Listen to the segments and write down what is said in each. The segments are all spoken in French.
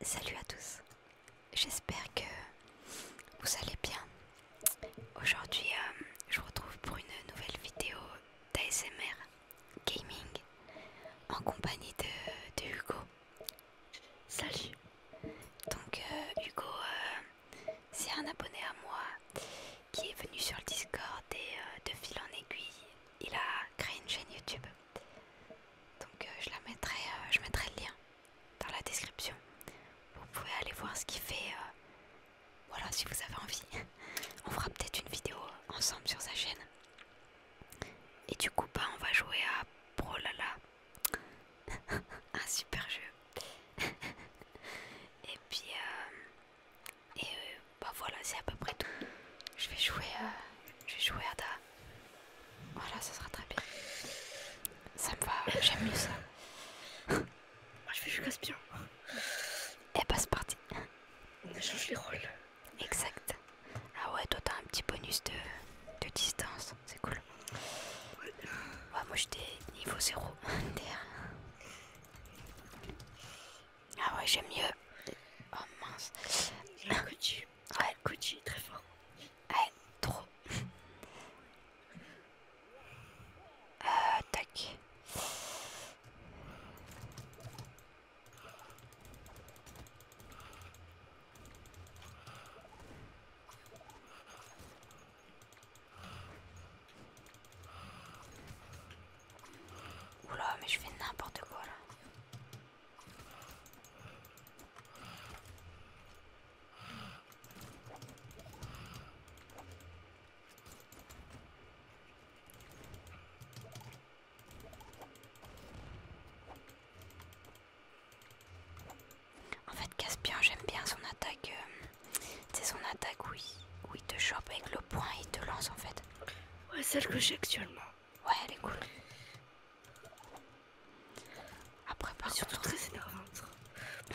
Salut à tous, j'espère que vous allez bien. Aujourd'hui, euh, je vous retrouve pour une nouvelle vidéo d'ASMR Gaming en compagnie de, Hugo. Salut! Donc, euh, Hugo, euh, c'est un abonné à moi qui est venu sur le Discord et de fil en aiguille, il a créé une chaîne YouTube. Donc euh, je la mettrai, euh, je mettrai le lien dans la description. Vous pouvez aller voir ce qu'il fait. Euh, voilà, si vous avez envie. On fera peut-être une vidéo ensemble sur sa chaîne. Et du coup, bah, on va jouer à Prolala. Un super jeu. et puis, et bah voilà, c'est à peu près tout. Je vais jouer, je vais jouer à da, voilà, ça sera très bien. Ça me va, euh, j'aime mieux ça. Moi je fais du casse Et bah c'est parti. On changé les rôles. Exact. Ah ouais, toi t'as un petit bonus de, distance, c'est cool. Ouais, moi j'étais niveau 0. ah ouais, j'aime mieux. Oh mince. C'est Ouais, le très fort. Ouais, trop. Euh, tac. Oula, mais je fais n'importe quoi là. En fait, Caspian, j'aime bien son attaque. C'est euh, son attaque où il, te chope avec le poing et il te lance en fait. Ouais, celle que j'ai actuellement. Ouais, elle est cool. Après, par surtout contre, très énervant. Ouais.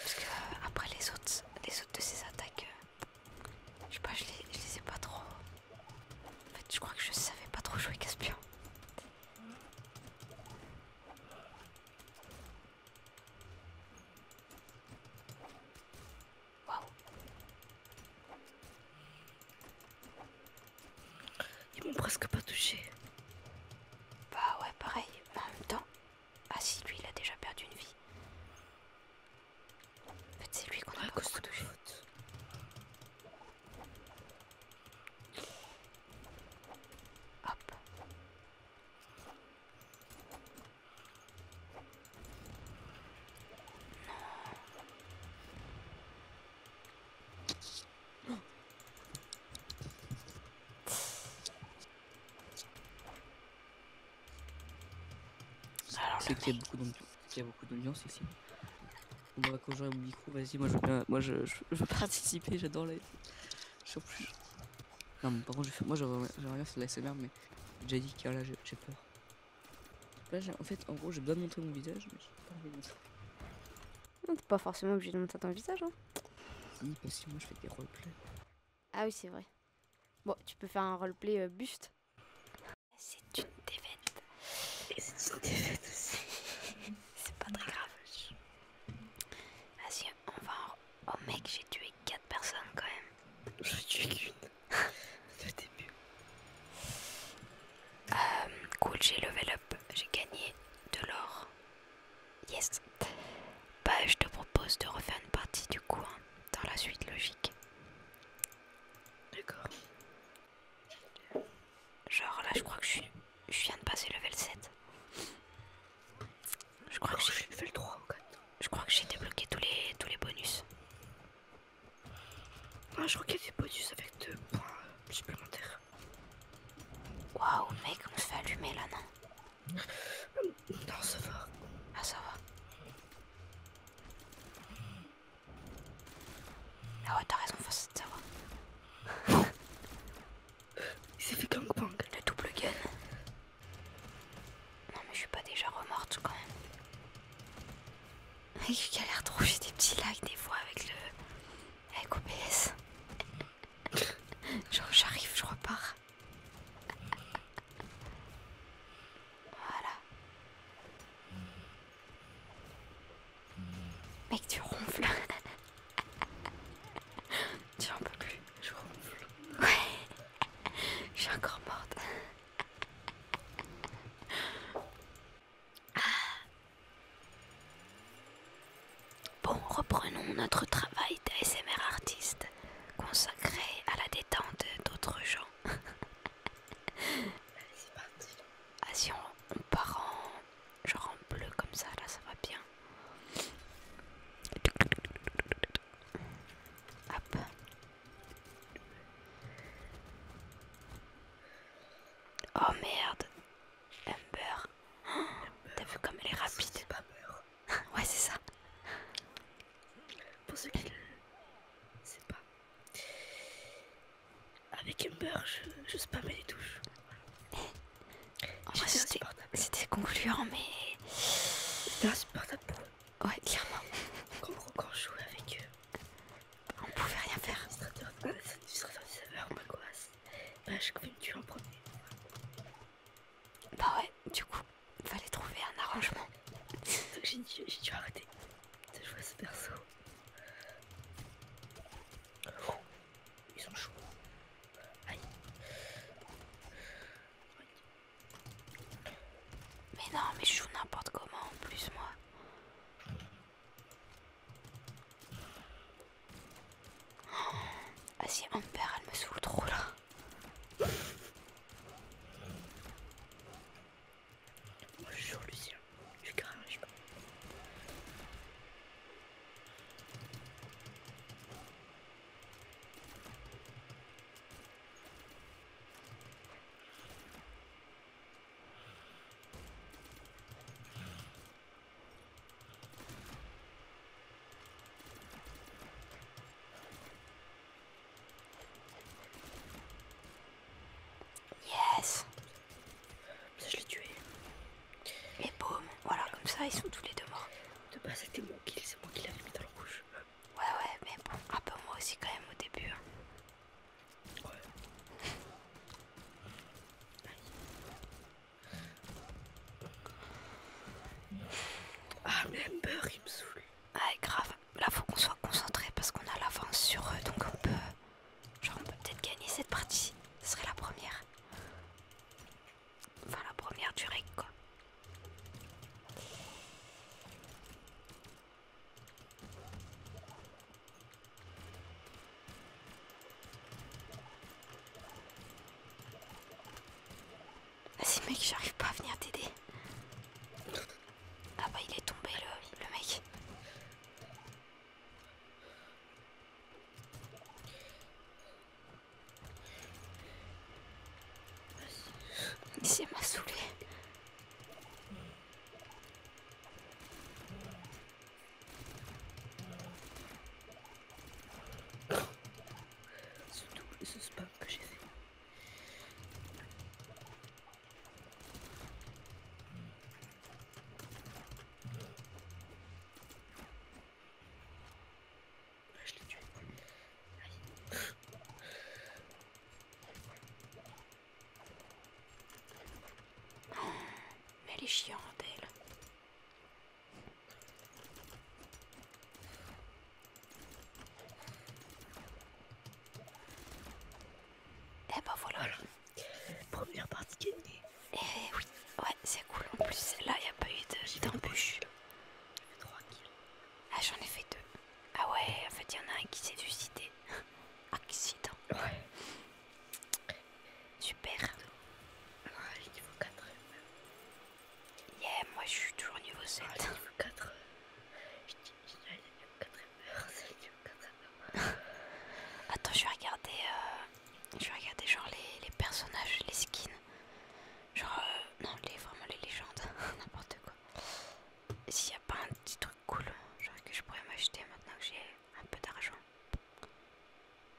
Parce que euh, après les autres, les autres de ces attaques, euh, je sais pas, je les, les ai pas trop. En fait, je crois que je savais pas trop jouer Caspian. Waouh. Ils m'ont presque pas touché. Bah ouais, pareil. en même temps. Ah si, lui, il a déjà perdu une vie. En fait, c'est lui qu'on a ouais, touché. Hop. Je c'est qu'il y a beaucoup d'ambiance. ici. On va conjurer mon au micro, vas-y, moi je veux moi je, veux participer, j'adore les... Je plus. Non, mais par contre, je moi j'aurais rien faire de la SMR, mais j'ai dit que là j'ai peur. Là, en fait, en gros, j'ai besoin de montrer mon visage, mais j'ai pas envie de monter. Non, t'es pas forcément obligé de montrer ton visage, hein. parce que moi, je fais des Ah oui, c'est vrai. Bon, tu peux faire un roleplay euh, buste. C'est une défaite. c'est une défaite aussi. c'est pas très grave. Vas-y, on va en... Oh mec, j'ai tué 4 personnes quand même. J'ai tué qu'une. Le début. Euh, cool, j'ai level up, j'ai gagné de l'or. Yes. Bah, je te propose de refaire une partie du coup, hein, dans la suite logique. D'accord. Genre là, je crois que je, viens de passer level 7. Je crois que j'ai level 3 Je crois que j'ai débloqué tous les tous les bonus. Moi ah, je crois qu'il des bonus avec deux points supplémentaires. Waouh, mec, on se fait allumer là, non Non, ça va. Ah, ça va. Ah ouais, t'as raison, ça va. Il s'est fait pang Le double gun. Non, mais je suis pas déjà remorte quand même. Mec, je galère trop, j'ai des petits lags des fois avec le. avec OBS. Genre j'arrive, je repars. Voilà. Mec, tu ronfles. Tu en peux plus, je ronfle. Ouais, je suis encore morte. Bon, reprenons notre travail d'ASMR artiste consacré à la détente d'autres gens. Allez, c'est parti. Ah, si on, part genre en bleu comme ça, là ça va bien. Hop. Oh merde Humber T'as vu comme elle est rapide Ouais c'est ça Pour ceux qui ne savent pas Avec Humber je, je mais les touches C'était concluant mais... C'était insupportable pour eux. Ouais clairement Quand, quand je jouais avec eux on pouvait rien faire. L'administrateur du serveur m'angoisse. Bah, je vais me tuer en premier. Bah ouais, du coup, fallait trouver un arrangement. Donc j'ai dû arrêter de jouer à ce perso. Oh, ils sont chauds. Aïe. Mais non, mais je joue n'importe comment en plus, moi. Ah si oh, Amber, elle me saoule trop là. Bonjour Lucien, je crains. Yes Ça je l'ai tué. Et boum, voilà, comme ça ils sont tous les deux morts. De base c'était mon kill, c'est moi qui l'avais mis dans le rouge. Ouais ouais, mais bon, un peu moi aussi quand même au début. Hein. Ouais. Ah mais peur il me saoule. Ah grave, là faut qu'on soit concentré parce qu'on a l'avance sur eux donc on peut... Genre peut être gagner cette partie. Ce serait la première. Enfin la première du règne quoi. Vas-y mec, j'arrive pas à venir t'aider. Ah bah il est tombé le, mec. Il s'est m'a saoulé ce double, ce spam que j'ai fait. Ah, mais elle est chiante, elle. Et eh bah ben, voilà. Première partie gagnée. Eh oui, ouais, c'est cool. En plus, là, il n'y a pas eu d'embûches De... J'en kills. Ah, j'en ai fait deux. Ah ouais, en fait, il y en a un qui s'est suicidé. Accident. Ouais. Super. Ouais, niveau 4. Yeah, moi je suis toujours niveau 7. niveau 4. Je dis, 4 c'est niveau Attends, je vais regarder. Euh, je vais regarder genre les, les personnages, les skins. Genre, euh, non, les, vraiment les légendes. N'importe quoi. S'il n'y a pas un petit truc cool genre que je pourrais m'acheter maintenant que j'ai un peu d'argent. Non,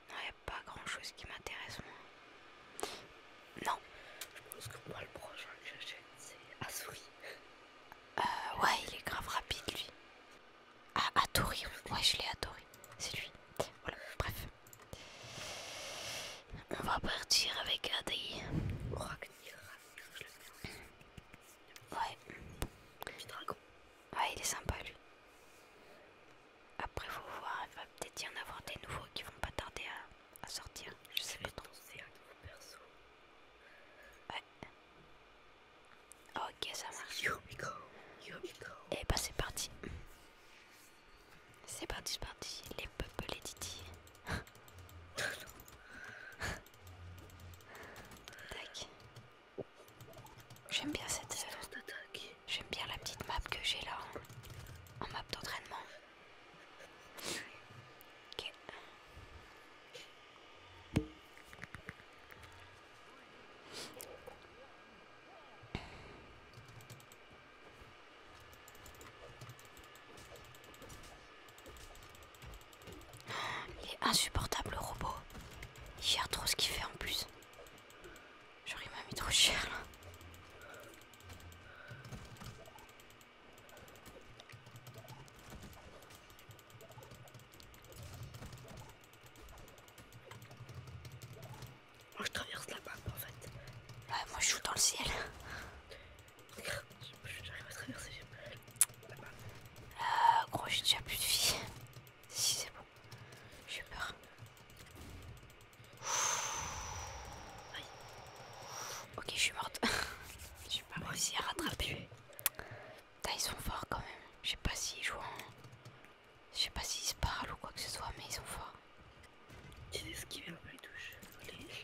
il n'y a pas grand chose qui m'intéresse moi. Non. Je pense que moi le prochain que j'achète c'est Asuri. Euh ouais il est grave rapide lui. Ah Atori, ouais je l'ai adoré, c'est lui. Voilà, bref. On va partir avec Adi. Ouais. dragon. Ouais, il est sympa lui. Après, faut voir, il va peut-être y en avoir des nouveaux qui vont pas tarder à, sortir. Je sais pas trop. un nouveau perso. Ouais. Ok, ça marche. Here go. Et bah, c'est parti. C'est parti, c'est parti. Les peuples, et Didi. J'aime bien cette. J'aime bien la petite map que j'ai là en, map d'entraînement. Il est insupportable le robot. Il gère trop ce qu'il fait en plus. J'aurais même mis trop cher là. Moi je traverse la map en fait. Ouais, moi je joue dans le ciel. Regarde, j'arrive à traverser. Euh, gros, j'ai déjà plus de vie. Si c'est bon, j'ai peur. Aïe. Ok, je suis morte. J'ai pas réussi à rattraper. Putain, ils sont forts quand même. Je sais pas ils jouent en... Je sais pas s'ils se parlent ou quoi que ce soit, mais ils sont forts. J'ai esquivé un peu les touches.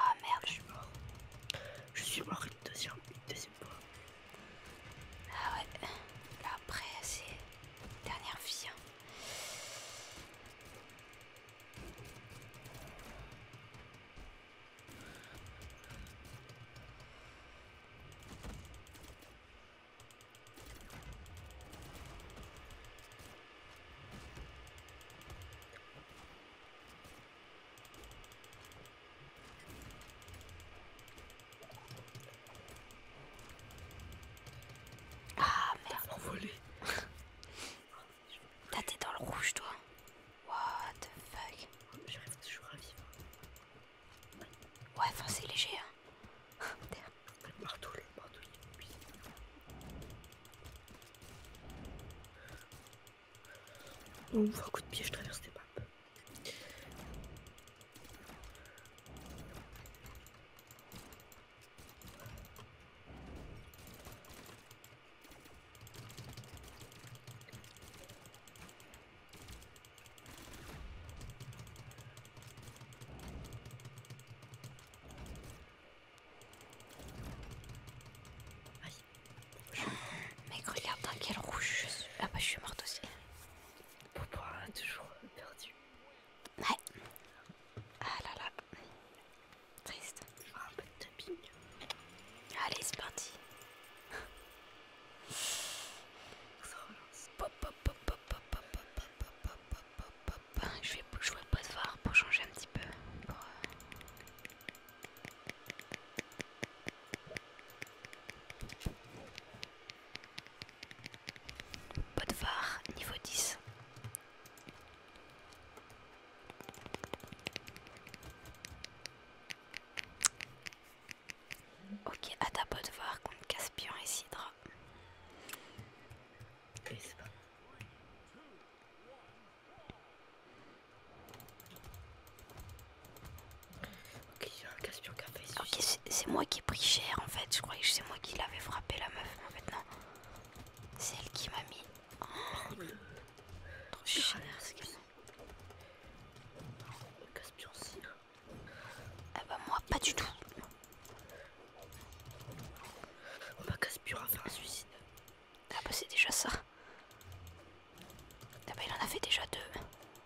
Ah merde, je suis mort. Je suis mort une deuxième, fois. Ah ouais. Là après c'est dernière vie. Hein. Ah merde. Envolé. T'as été dans le rouge toi. What the fuck. J'arrive toujours à vivre. Ouais, enfin c'est léger hein. le marteau, le marteau, du est Bon, un coup de pied, je traverse des maps. Mec, regarde dans quel rouge je suis. Ah bah, je suis morte aussi. Pourquoi hein, toujours perdu Ouais. Ah là là. Triste. Un peu de tapping. Allez, c'est parti. Je vais jouer pas de voir pour changer un petit peu. Pour, euh, de voir niveau 10. Ok, à ta peau de voir contre Caspian et Sidra. c'est Ok, il qui a fait c'est moi qui ai pris cher en fait. Je croyais que c'est moi qui l'avais frappé la meuf. En fait, non. C'est elle qui m'a mis. Oh. Trop cher, Caspian, si hein. Ah bah moi pas du tout. On va à faire un suicide. Ah bah c'est déjà ça. Ah bah il en a fait déjà deux.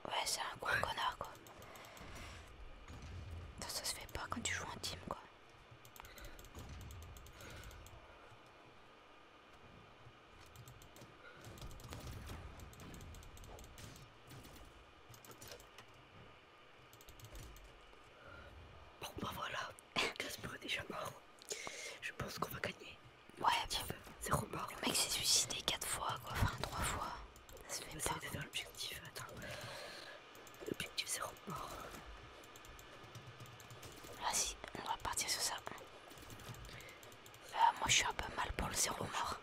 Ouais c'est un gros connard quoi. ça se fait pas quand tu joues en team quoi. Bon bah voilà, Casper est déjà mort. Je pense qu'on va gagner. Ouais, bah, Zéro mort. Le mec s'est suicidé 4 fois, quoi. Enfin, 3 fois. Ça se fait pas. C'est l'objectif, L'objectif, zéro mort. Vas-y, on va partir sur ça. Euh, moi, je suis un peu mal pour le zéro mort.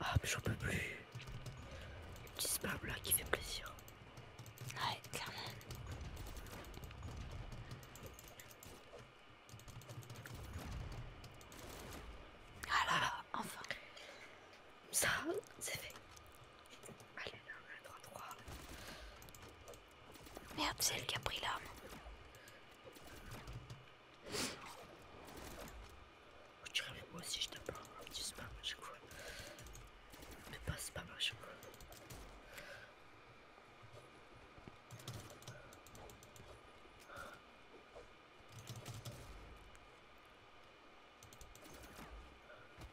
Ah, mais j'en peux plus. Une petite spam là qui fait plaisir. Ouais, clairement. Ah là là, enfin. Ça, c'est fait. Allez, là, on 3, 3. Merde, c'est elle qui a pris l'arme tu que avec moi aussi, je te un petit spam à chaque fois. Mais pas spam à chaque fois.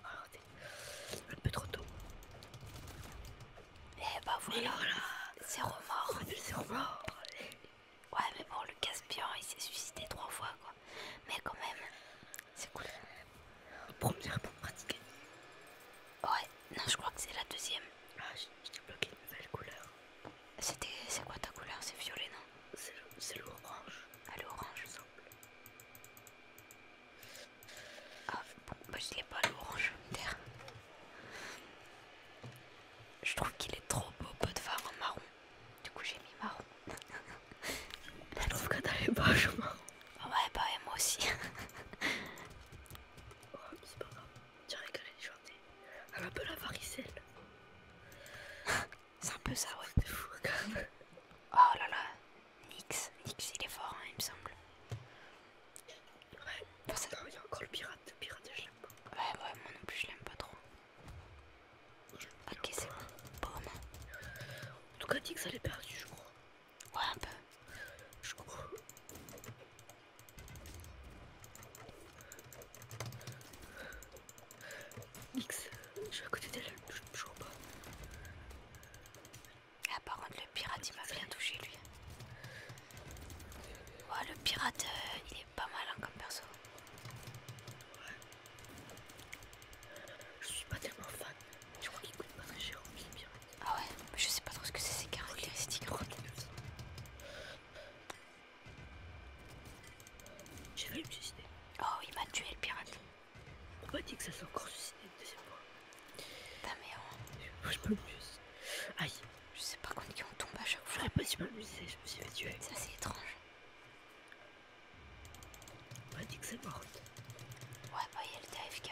Regardez, un peu trop tôt. Et eh bah ben, voilà, c'est remords, c'est allez Ouais, mais bon, le Caspian, il s'est suicidé trois fois, quoi. Mais quand même, c'est cool. Première pour pratiquer. Ouais, non, je crois que c'est la deuxième. Ah, je t'ai bloqué une nouvelle couleur. C'était. C'est quoi ta couleur C'est violet, non C'est l'orange. Ah, l'orange, Ah, bon, bah, je l'ai pas l'orange, terre je trouve qu'il est trop beau pot de phare en marron. Du coup j'ai mis marron. je trouve que t'as les poches marron. Ah ouais bah ouais, moi aussi. oh c'est pas grave. qu'elle est journée. Elle a un peu la varicelle. c'est un peu ça ouais. Oh là là. Nix. Nix il est fort hein, il me semble. Ouais. il y a encore le pirate le pirate je l'aime pas. Ouais, ouais, moi non plus je l'aime pas trop. Ok, c'est bon. Bon. En tout cas, Dix, elle est perdue, perdu, je crois. Ouais, un peu. Je crois. X, je suis à côté d'elle, je ne joue pas. Ah, par contre, le pirate il m'a bien touché lui. Ouais, oh, le pirate, euh, il est pas malin hein, comme perso. Ouais. Je suis pas tellement fan. Je crois qu'il coûte pas très cher Ah ouais, je sais pas trop ce que c'est ces caractéristiques. J'ai failli me suicider. Oh, il m'a tué le pirate. Pourquoi m'a dit que ça s'est encore suicidé une deuxième fois. Ta merde. Oh. Je peux plus. Aïe. Je sais pas est qui on tombe à chaque fois. pas si mal musée, je me suis fait tuer. C'est assez étrange. On m'a dit que c'est morte. Ouais, bah y'a le TFK.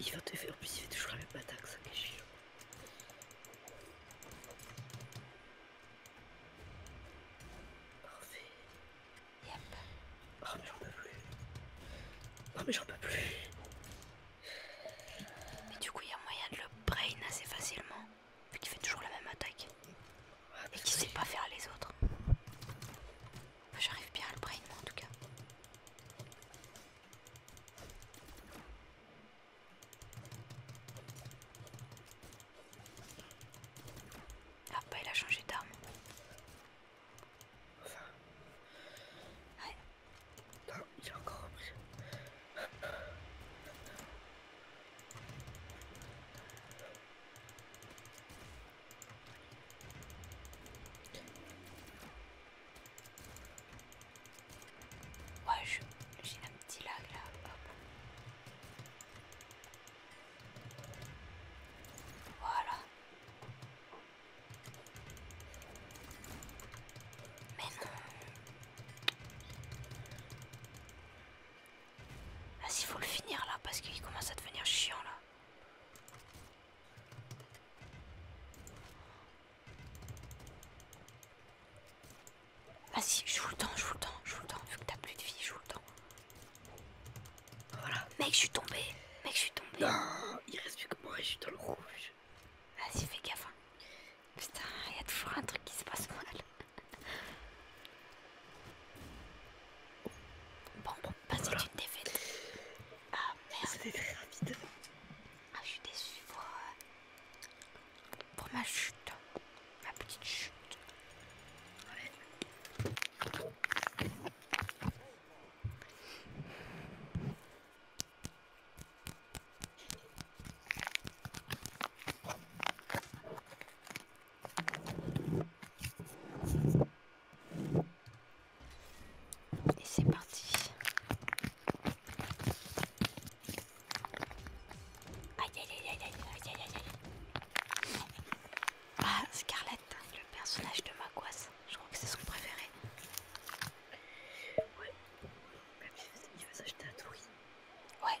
Il va te faire, plus il fait toujours la même attaque, ça cache. Parfait. Yep. Oh ah, mais j'en peux plus. Ah mais j'en peux plus. Mais du coup il y a moyen de le brain assez facilement, vu qu'il fait toujours la même attaque. Ah, et qu'il sait pas faire les autres. J'arrive bien à le brain, en tout cas. Ah, bah il a changé d'arme. Enfin. Ouais. Non, il encore repris. Ouais, j'ai un petit lag là. Voilà. Mais non. Ah, s'il faut le finir là, parce qu'il commence à devenir chiant là. Vas-y, je vous le temps, vous le temps, vous le temps, vu que t'as plus de vie, je vous le temps. Voilà. Mec, je suis tombé. Mec, je suis tombé. Non, il reste plus que moi, je suis dans le rouge. Vas-y, fais gaffe. Hein. Putain, il y a toujours un truc qui se passe mal. Bon, bon, bah une défaite. Ah merde. C'était très rapide. Ah, je suis déçue pour, pour ma chute. Ma petite chute. Et c'est parti. Aïe aïe aïe aïe aïe aïe aïe aïe. Ah, Scarlett, le personnage de Maquas, je crois que c'est son préféré. Ouais, même il va s'acheter un tourisme Ouais.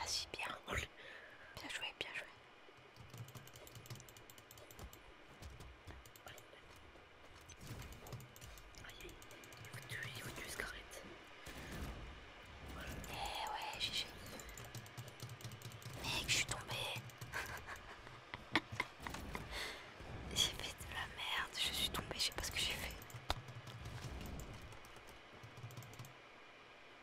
Ah si, bien. Bien joué, bien joué. Aïe, il faut tuer, il Eh ouais, GG. Mec, je suis tombé. j'ai fait de la merde, je suis tombée, je sais pas ce que j'ai fait.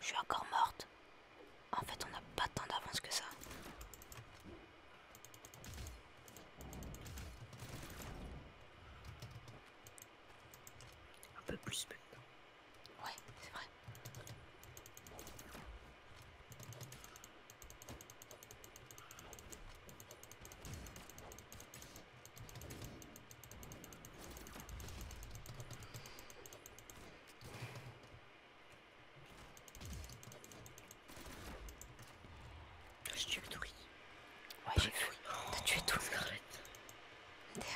Je suis encore morte. En fait, on n'a pas tant d'avance que ça. Un peu plus maintenant. Ouais, c'est vrai. Je tue le touris. Ouais, j'ai Tu oh, T'as tué tout, Arrête. Merde.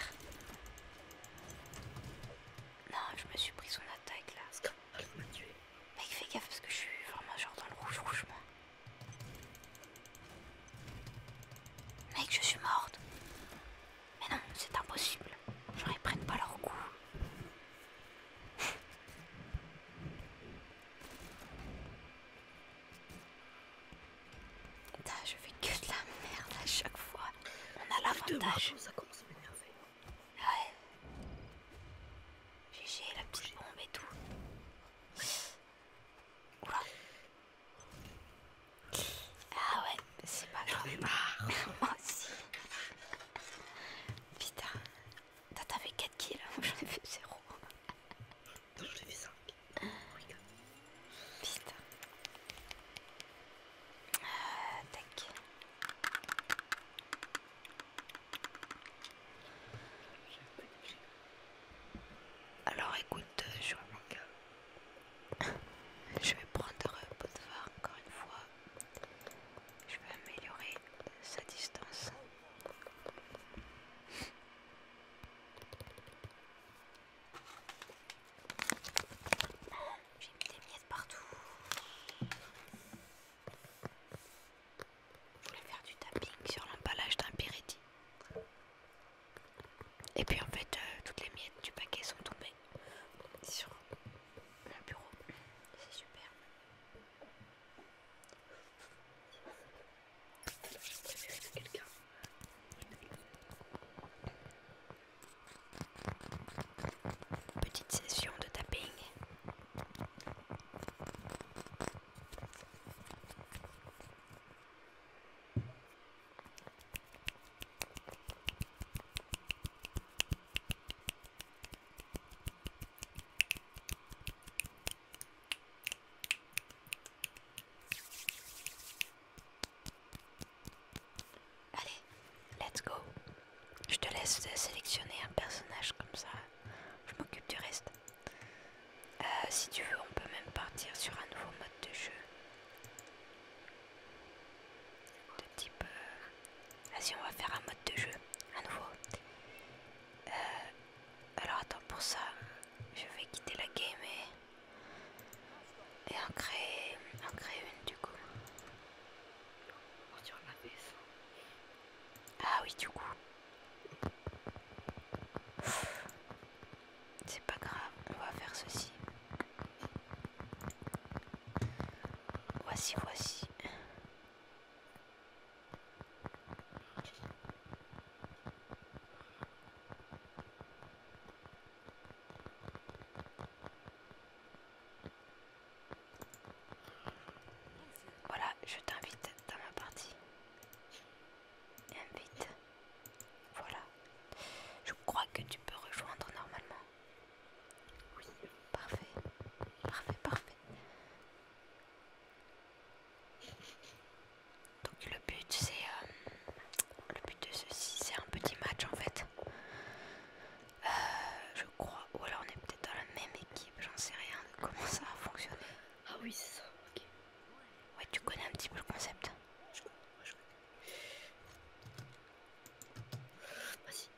Non, je me suis pris son attaque là. il m'a Mec, bah, fais gaffe parce que je suis vraiment genre dans le rouge, rouge moi. Mec, je suis morte. Mais non, c'est impossible. Genre, ils prennent pas leur coup. Putain, je fais que de la merde à chaque fois. On a l'avantage. Ouais. GG, la petite bombe et tout. Oula. Ah ouais, c'est pas grave. Moi aussi. Putain. fait 4 kills, moi hein. j'en ai fait 0. Non, j'en ai fait 5. Oh Putain. Euh, tac. Alors écoute, je euh, vais, je vais prendre Potvin encore une fois. Je vais améliorer sa distance. J'ai mis des miettes partout. Je voulais faire du tapping sur l'emballage d'un Piretti Et puis en fait, euh, toutes les miettes du paquet sont tombées sur le bureau. C'est super. quelqu'un. Petite session de tapping. Allez, let's go. Je te laisse sélectionner un personnage comme ça. Je m'occupe du reste. Euh, si tu veux, on peut même partir sur un nouveau mode de jeu. De type... si euh, Vas-y, on va faire un mode de jeu. à nouveau. Euh, alors attends, pour ça, je vais quitter la game et, et en, créer... en créer une du coup. Ah oui, du coup. C'est pas grave, on va faire ceci. Voici, voici. Voilà, je t'invite dans ma partie. Invite. Voilà. Je crois que tu peux rejoindre normalement. Oui, parfait. Parfait, parfait. Donc le but c'est euh, le but de ceci c'est un petit match en fait. Euh, je crois. Ou alors on est peut-être dans la même équipe, j'en sais rien de comment ça va fonctionner. Ah oui ça, Ouais, tu connais un petit peu le concept. Je connais, moi je connais. Vas-y.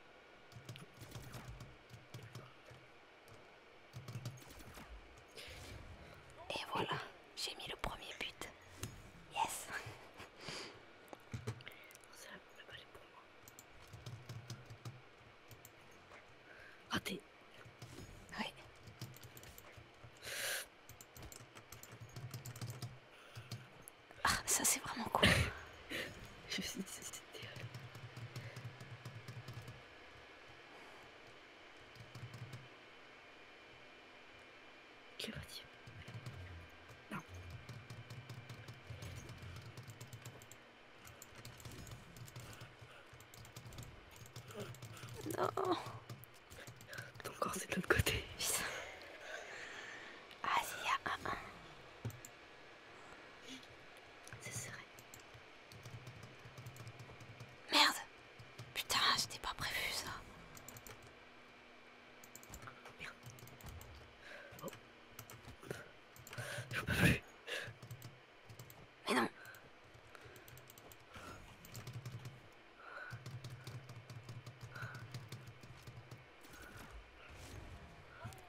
Et voilà, j'ai mis le premier but. Yes C'est la balle pour moi. t'es oui. Ah, ça c'est vraiment cool. Je sais, Qu'est-ce Que tu vas dire Non. Non. Ton corps, c'est de l'autre côté. Putain. Ah, si, il y a un C'est serré. Merde. Putain, j'étais pas prévu ça. Merde. Oh. Je peux plus. Mais non.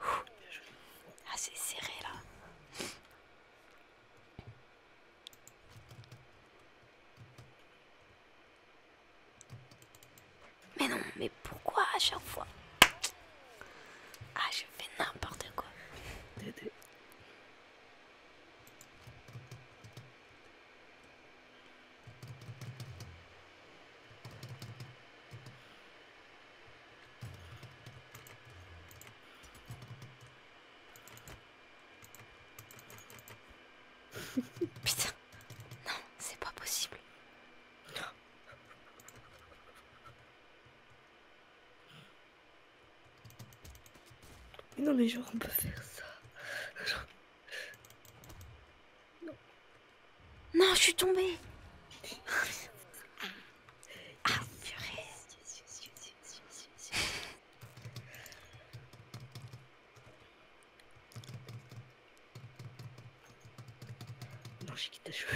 Ah, c'est serré là. Mais non, mais pourquoi à chaque fois Ah, je fais n'importe quoi. Putain, non, c'est pas possible non, mais genre, on peut faire ça. Non. je suis tombée. ah, purée. Non, j'ai quitté cheveux.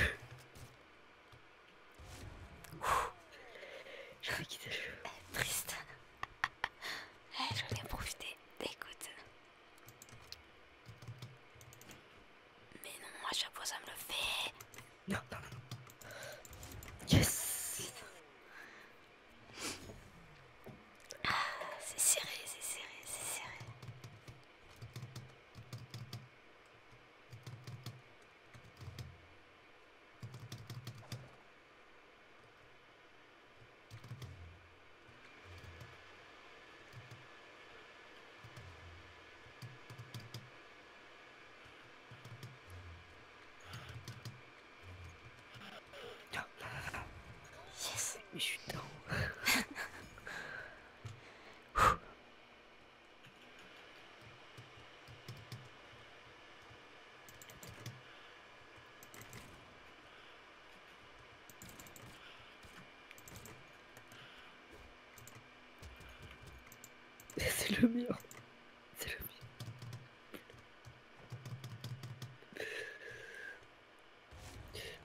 Je vais quitter le jeu. Eh, Triste. Eh, je vais bien profiter. Écoute. Mais non, moi je fois ça me le fait. Non, non, non. Yes. Ah, c'est serré, c'est serré, c'est serré. Yes, mais C'est le mur. C'est le mur.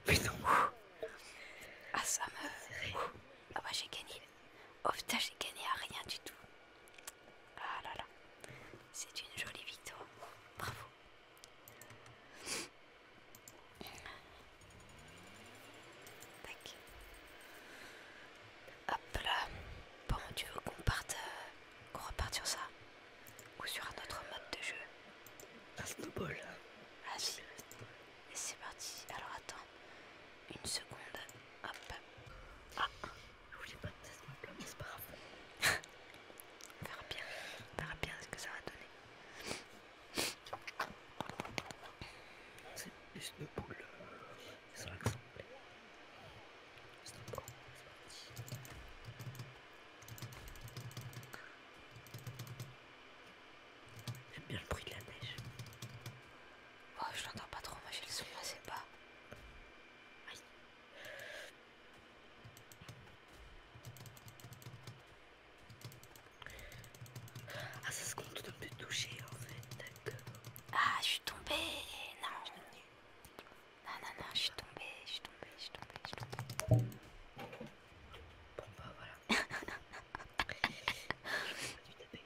Mais Ah ça me... Ah bah j'ai gagné. Oh putain j'ai gagné à rien du tout. Ah là là, c'est une jolie victoire. Bravo. Hop là. Bon, tu veux qu'on parte, euh, reparte sur ça Ou sur un autre mode de jeu Un hein. snowball. Vas-y. Et c'est parti attends, une seconde. Hop. Ah, je pas que ça se mais c'est pas grave. on verra bien, on bien ce que ça va donner. C'est une boule. Ça va sembler, C'est un J'aime bien le bruit de la neige. Oh, je l'entends pas trop, moi j'ai le son assez bas. Ah, ça se compte de me toucher en fait, d'accord. Ah, je suis tombée. Non, non, non, je suis tombée, je suis tombée, je suis tombée, Bon, bah voilà. je pas taper.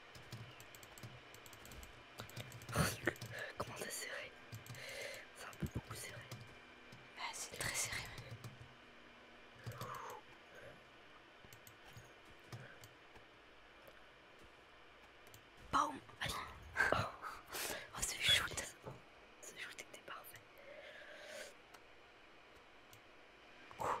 Comment c'est serré C'est un peu beaucoup serré. Bah, c'est très serré Allez Oh, c'est ce shoot Ce shoot était parfait. Ouh.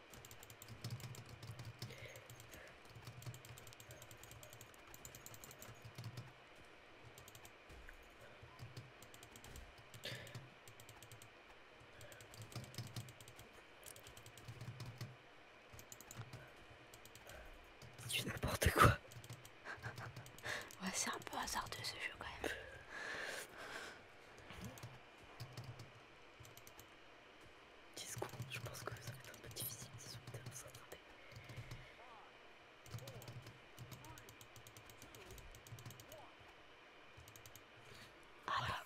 Tu n'importe quoi. ouais, c'est un peu hasardeux ce jeu quand même. 10 je pense que ça va être un peu difficile si ah bah. vous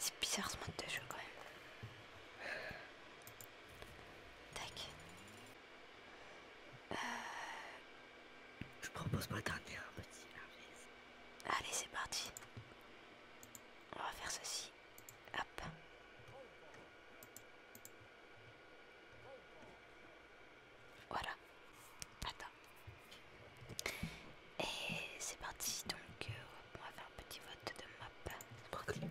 C'est bizarre ce mode de jeu quand même. Tac. Euh. Je propose Allez, c'est parti. On va faire ceci. Hop. Voilà. Attends. Et c'est parti. Donc, euh, on va faire un petit vote de map. Ok,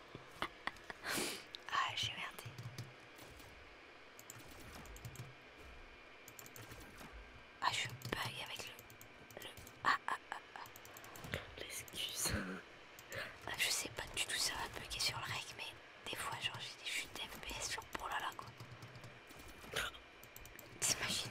ah, j'ai merdé. Ah, je bug avec le. le ah, ah, ah, ah. L'excuse. Ah, je sais pas du tout, ça va bugger sur le rec, mais des fois, genre, j'ai des chutes d'FPS, genre, pour là là quoi. T'imagines?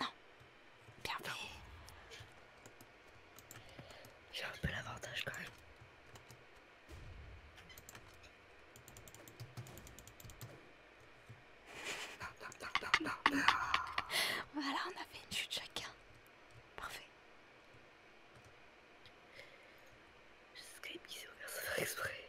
Non. Bien fait. J'ai un peu l'avantage quand même. voilà, on a fait une chute chacun. Parfait. Skype qui s'est ouvert sans faire exprès.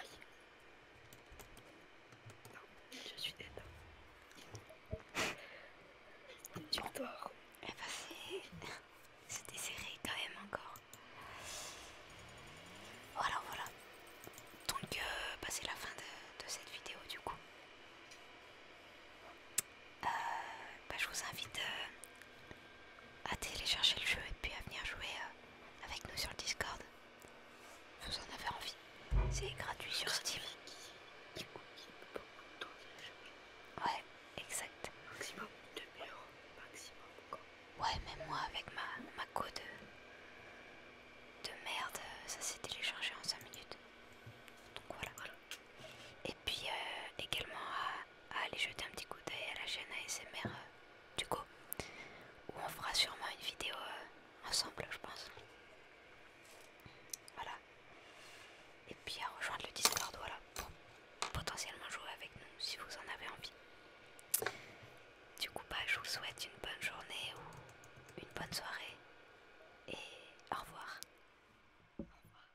Aïe. je suis dead. Tu dors. C'était serré quand même encore. Voilà, voilà. Donc, euh, bah, c'est la fin de, cette vidéo du coup. Euh, bah, je vous invite euh, à télécharger le jeu et puis à venir jouer euh, avec nous sur le Discord. Vous en avez envie. C'est gratuit sur Steam. Ouais, exact. Maximum 2 maximum. Ouais, mais moi avec ma, ma de, merde, ça s'est téléchargé en 5 minutes. Donc voilà. Et puis euh, également à à aller jeter un petit coup d'œil à la chaîne ASMR euh, du coup où on fera sûrement une vidéo euh, ensemble je pense voilà et puis à rejoindre le discord voilà pour potentiellement jouer avec nous si vous en avez envie du coup bah je vous souhaite une bonne journée ou une bonne soirée et au revoir, au revoir.